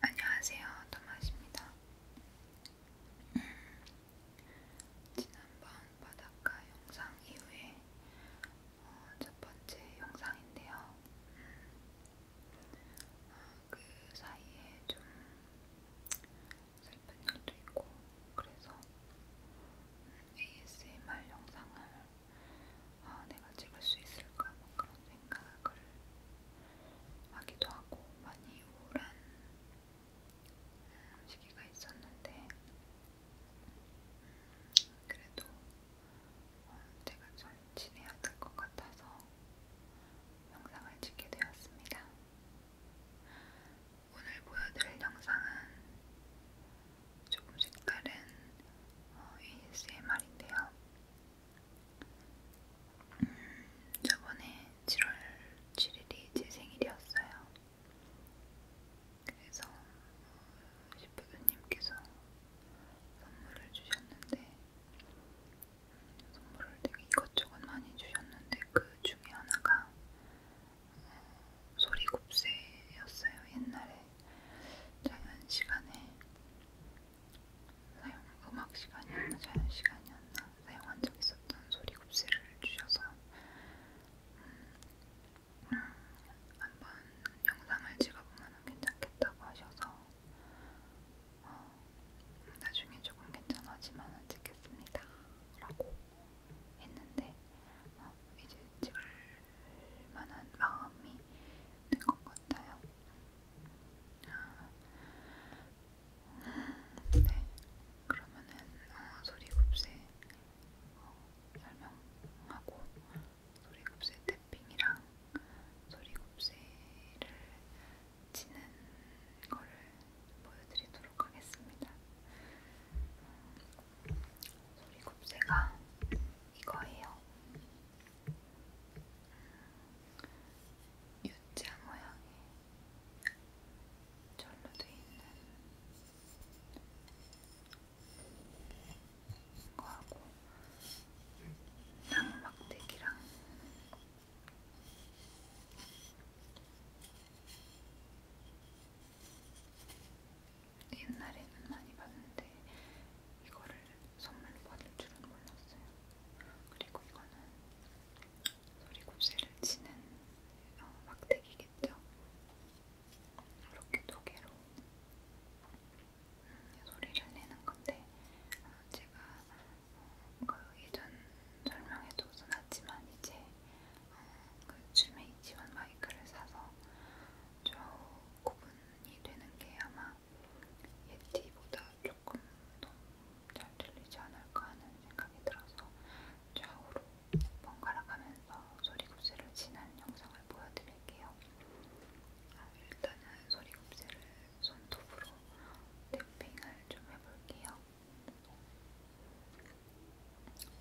안녕하세요, 토마시입니다. 음, 지난번 바닷가 영상 이후에 어, 첫 번째 영상인데요. 음, 어, 그 사이에 좀 슬픈 일도 있고, 그래서 음, ASMR 영상을 아, 내가 찍을 수 있을까 뭐 그런 생각을 하기도 하고 많이 우울한 시기가 있었는데 음, 그래도 어, 제가 잘 지내야 될 것 같아서 영상을 찍게 되었습니다. 오늘 보여드릴 영상은 조금씩 다른 어, ASMR인데요. 음, 저번에 7월 7일이 제 생일이었어요. 그래서 시프드님께서 선물을 주셨는데 선물을 되게 이것저것 많이 주셨는데 그 중에 하나가 어, 소리곱새였어요. 옛날에 작은 시간에 사용 음악 시간이었나 자연 시간이었나 사용한 적 있었던 소리 굽쇠를 주셔서 음, 음, 한번 영상을 찍어보면 괜찮겠다고 하셔서 어, 나중에 조금 괜찮아지면 찍겠습니다 라고 했는데 어, 이제 찍을 만한 마음이 된 것 같아요. 네, 그러면은 어, 소리굽세 어, 설명하고 소리굽세 탭핑이랑 소리굽세를 치는 거를 보여드리도록 하겠습니다. 음, 소리굽세가 이거예요. U자 모양의 절로 돼 있는 거하고 나무 막대기랑 옛날에는 많이 봤는데 이거를 선물로 받을 줄은 몰랐어요. 그리고 이거는 소리곱슬을 치는 어, 막대기겠죠. 이렇게 두 개로 음, 소리를 내는 건데 어, 제가 어, 그 예전 설명에도 써놨지만 이제 어, 그 줌에 있지만 마이크를 사서 저 구분이 되는 게 아마 예티보다 조금 더 잘 들리지 않을까 하는 생각이 들어서 좌우로 번갈아 가면서 소리굽새를 지난 영상을 보여드릴게요. 아, 일단은 소리굽새를 손톱으로 탭핑을 좀 해볼게요.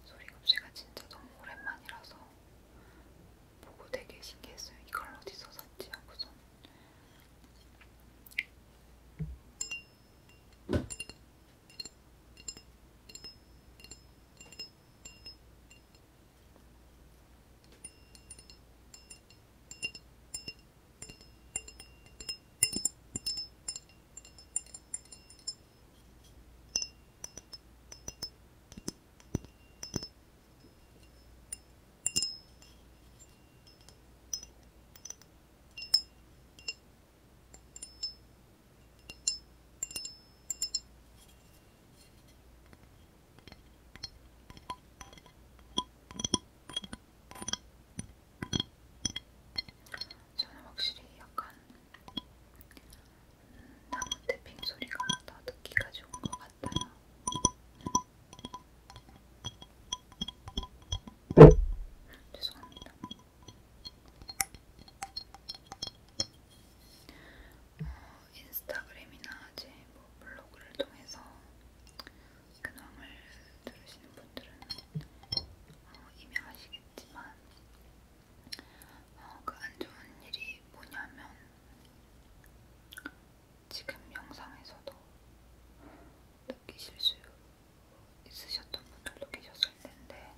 소리굽새가 진짜 너무 오랜만이라서 보고 되게 신기했어요. 이걸 어디서 샀지 하고선. 음. 저는 확실히 약간 음, 나무 태핑 소리가 더 듣기가 좋은 것 같아요. 음. 죄송합니다. 어, 인스타그램이나 이제 뭐 블로그를 통해서 근황을 들으시는 분들은 어, 이미 아시겠지만 어, 그안 좋은 일이 뭐냐면 지금 영상에서도 느끼실 수 있으셨던 분들도 계셨을 텐데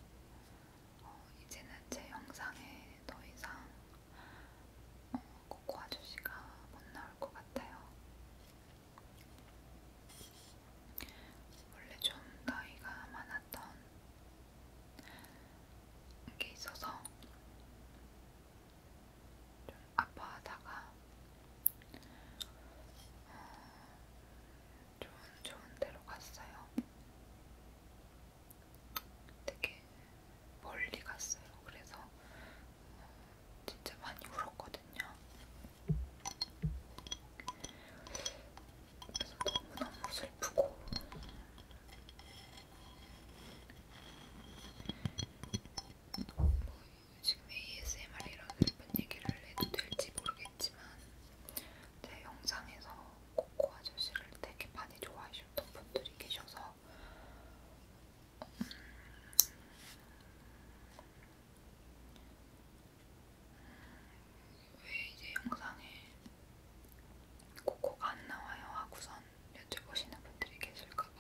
어, 이제는 제 영상에 더 이상 어, 코코 아저씨가 못 나올 것 같아요. 원래 좀 나이가 많았던 게 있어서 좀 아파하다가 어, 좋은 좋은 데로 갔어요. 되게 멀리 갔어요. 그래서 어, 진짜 많이 울었거든요. 그래서 너무너무 슬프고 뭐 지금 ASMR 이런 슬픈 얘기를 해도 될지 모르겠지만 제 영상에서 코코 아저씨를 되게 많이 좋아하셨던 분들이 계셔서 음, 왜 이제 영상에 코코가 안 나와요 하고선 여쭤보시는 분들이 계실까봐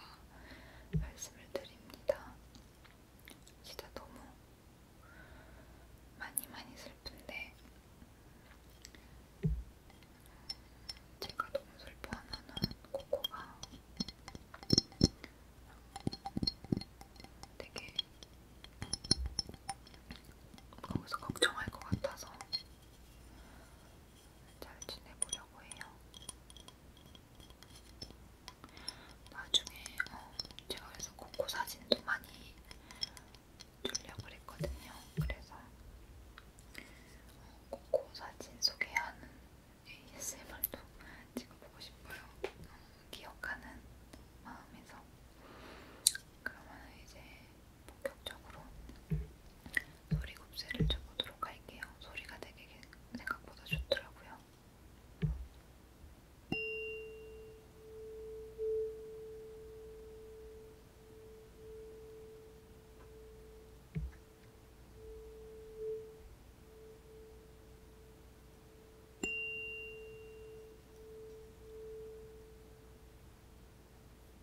말씀을 드립니다. 진짜 너무 많이 많이 슬픈데 제가 너무 슬퍼하면은 코코가 되게 거기서 걱정할 것 같아서 잘 지내보려고 해요. 나중에 어, 제가 그래서 코코 사진도 많이 주려고 그랬거든요. 그래서 어, 코코 사진 소개하는 ASMR도 찍어보고 싶어요. 어, 기억하는 마음에서. 그러면 이제 본격적으로 소리 곱슬을 쳐보도록 할게요. 소리가 되게 생각보다 좋더라고요.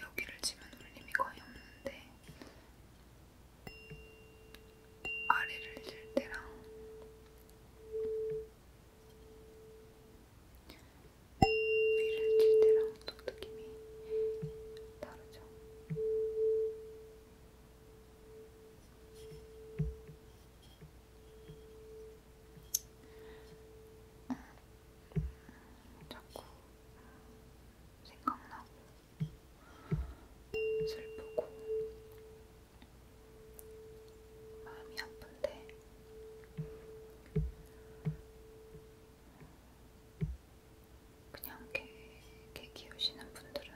여기를 치면 울림이 거의 없는데 아래를 칠 때랑 위를 칠 때랑 또 느낌이 다르죠. 자꾸 생각나고 슬프고 마음이 아픈데 그냥 개, 개 키우시는 분들은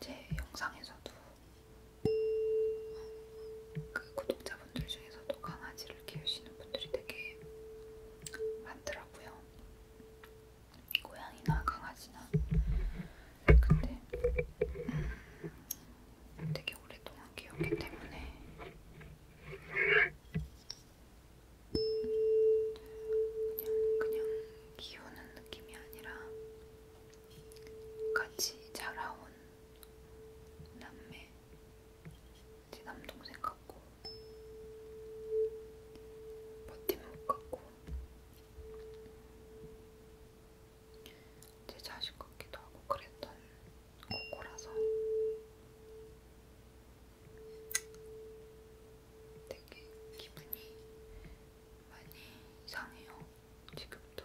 제 영상에서도 그 구독자 구독자분들 중에서도 강아지를 키우시는 분들이 되게 많더라고요. 고양이나 강아지나. 근데 음, 되게 오랫동안 키웠기 때문에 그냥 그냥 키우는 느낌이 아니라 같이 자라온 남매 제 네 남동생 같고 버팀목 같고 제 자식 같기도 하고 그랬던 고고라서 되게 기분이 많이 이상해요. 지금도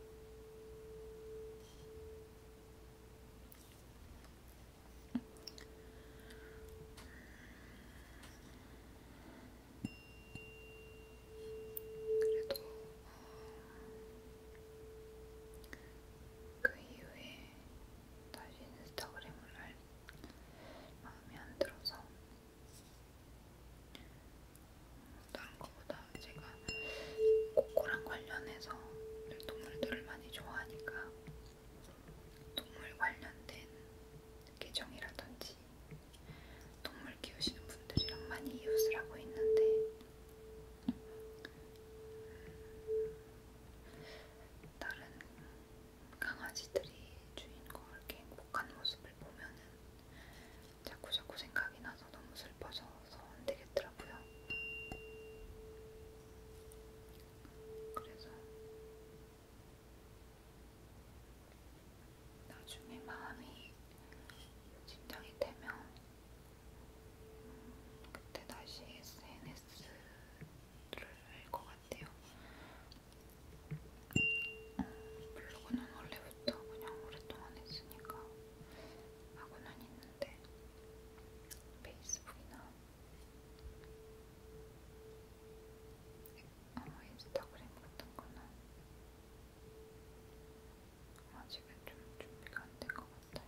그래도 그 이후에 다시 인스타그램을 할 마음이 안 들어서 다른 것보다 제가 코코랑 관련해서 동물들을 많이 좋아하니까 동물 관련된 계정이라든지 동물 키우시는 분들이랑 많이 이웃을 하고 있는데 음, 다른 강아지들이 주인과 이렇게 행복한 모습을 보면은 자꾸 자꾸 생각이 나서 너무 슬퍼져서 안 되겠더라고요. 그래서 나중에 마음이 진정이 되면 음, 그때 다시 SNS를 할 것 같아요. 블로그는 원래부터 그냥 오랫동안 했으니까 하고는 있는데 페이스북이나 어, 인스타그램 같은 거는 아직은 좀 준비가 안된것 같아요.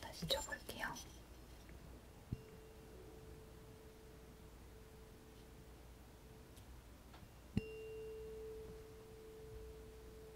다시 쳐볼게요.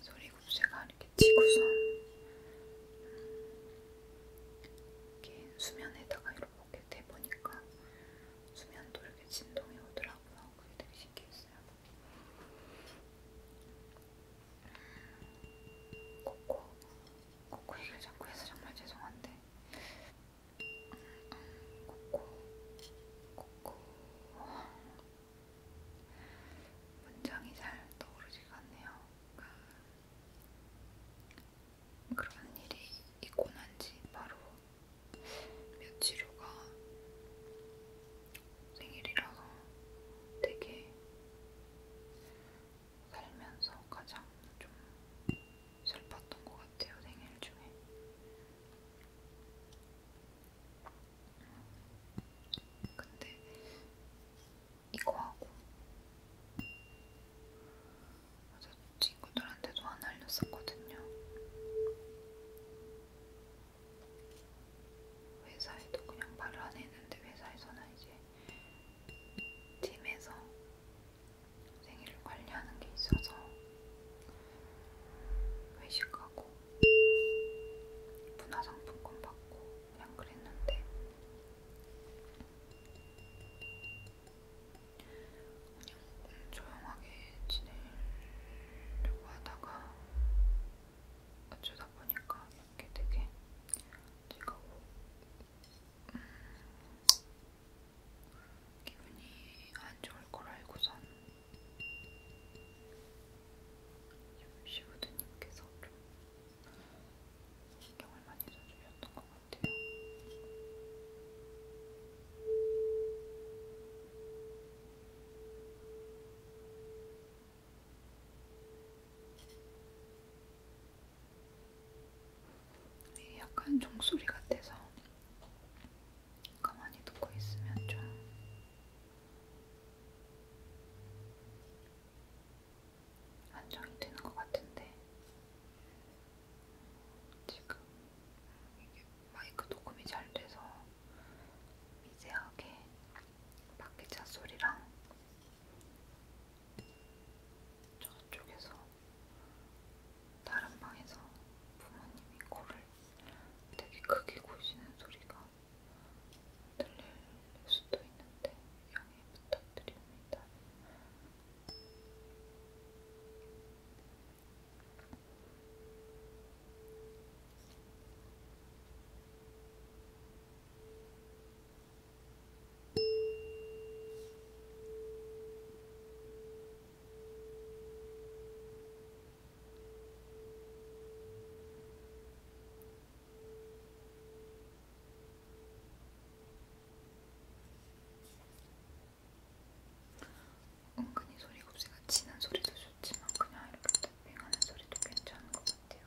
소리 굽쇠가 아니 이렇게 치고선 이렇게 수면에다가 이렇게 대보니까 수면도 이렇게 진동이 오더라고요. 그게 되게 신기했어요. 코코, 코코 얘기를 자꾸 해서 정말 죄송한데 코코, 코코 문장이 잘 떠오르지가 않네요. 그러니까 그런 일이 있고 난지 바로 며칠 후가 생일이라서 되게 살면서 가장 좀 슬펐던 것 같아요 생일 중에 근데 이거 하고 친구들한테도 안 알렸었거든요. 회사에도 그냥 말을 안 했는데 회사에서는 이제 팀에서 생일을 관리하는 게 있어서 회식하고 문화상품권 받고 그냥 그랬는데 그냥 조용하게 지내려고 하다가 어쩌다 보니까 이렇게 되게 제가 음, 기분이 안 좋을 걸 알고선 시부드님께서 좀 신경을 많이 써주셨던 것 같아요. 네, 약간 종소리 같아서 가만히 듣고 있으면 좀 안정이 되는 것 같은데 지금 이게 마이크 녹음이 잘 돼서 미세하게 밖에차 소리랑 저쪽에서 다른 방에서 부모님이 코를 되게 크게 고시는 소리가 들릴 수도 있는데 양해 부탁드립니다. 은근히 소리 곱씹가 치는 소리도 좋지만 그냥 이렇게 탭핑하는 소리도 괜찮은 것 같아요.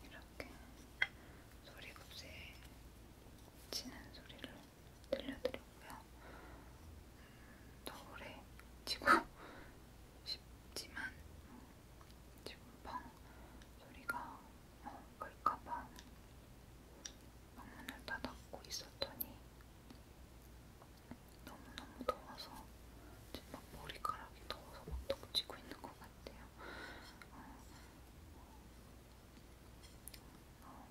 오늘은 이렇게 소리곱새 치는 소리를 들려드리고요. 더 오래 치고 싶지만 지금 방 소리가 어, 클까봐 방문을 다 닫고 있었더니 너무너무 더워서 지금 막 머리카락이 더워서 막 덕지고 있는 것 같아요. 어, 어,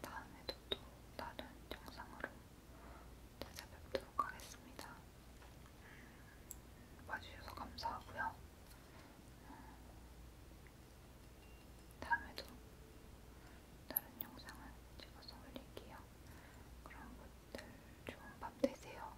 다음에도 또 다른 영상으로 찾아뵙도록 하겠습니다. 음, 봐주셔서 감사하고요. 음, 다음에도 다른 영상을 찍어서 올릴게요. 그럼 모두들 좋은 밤 되세요.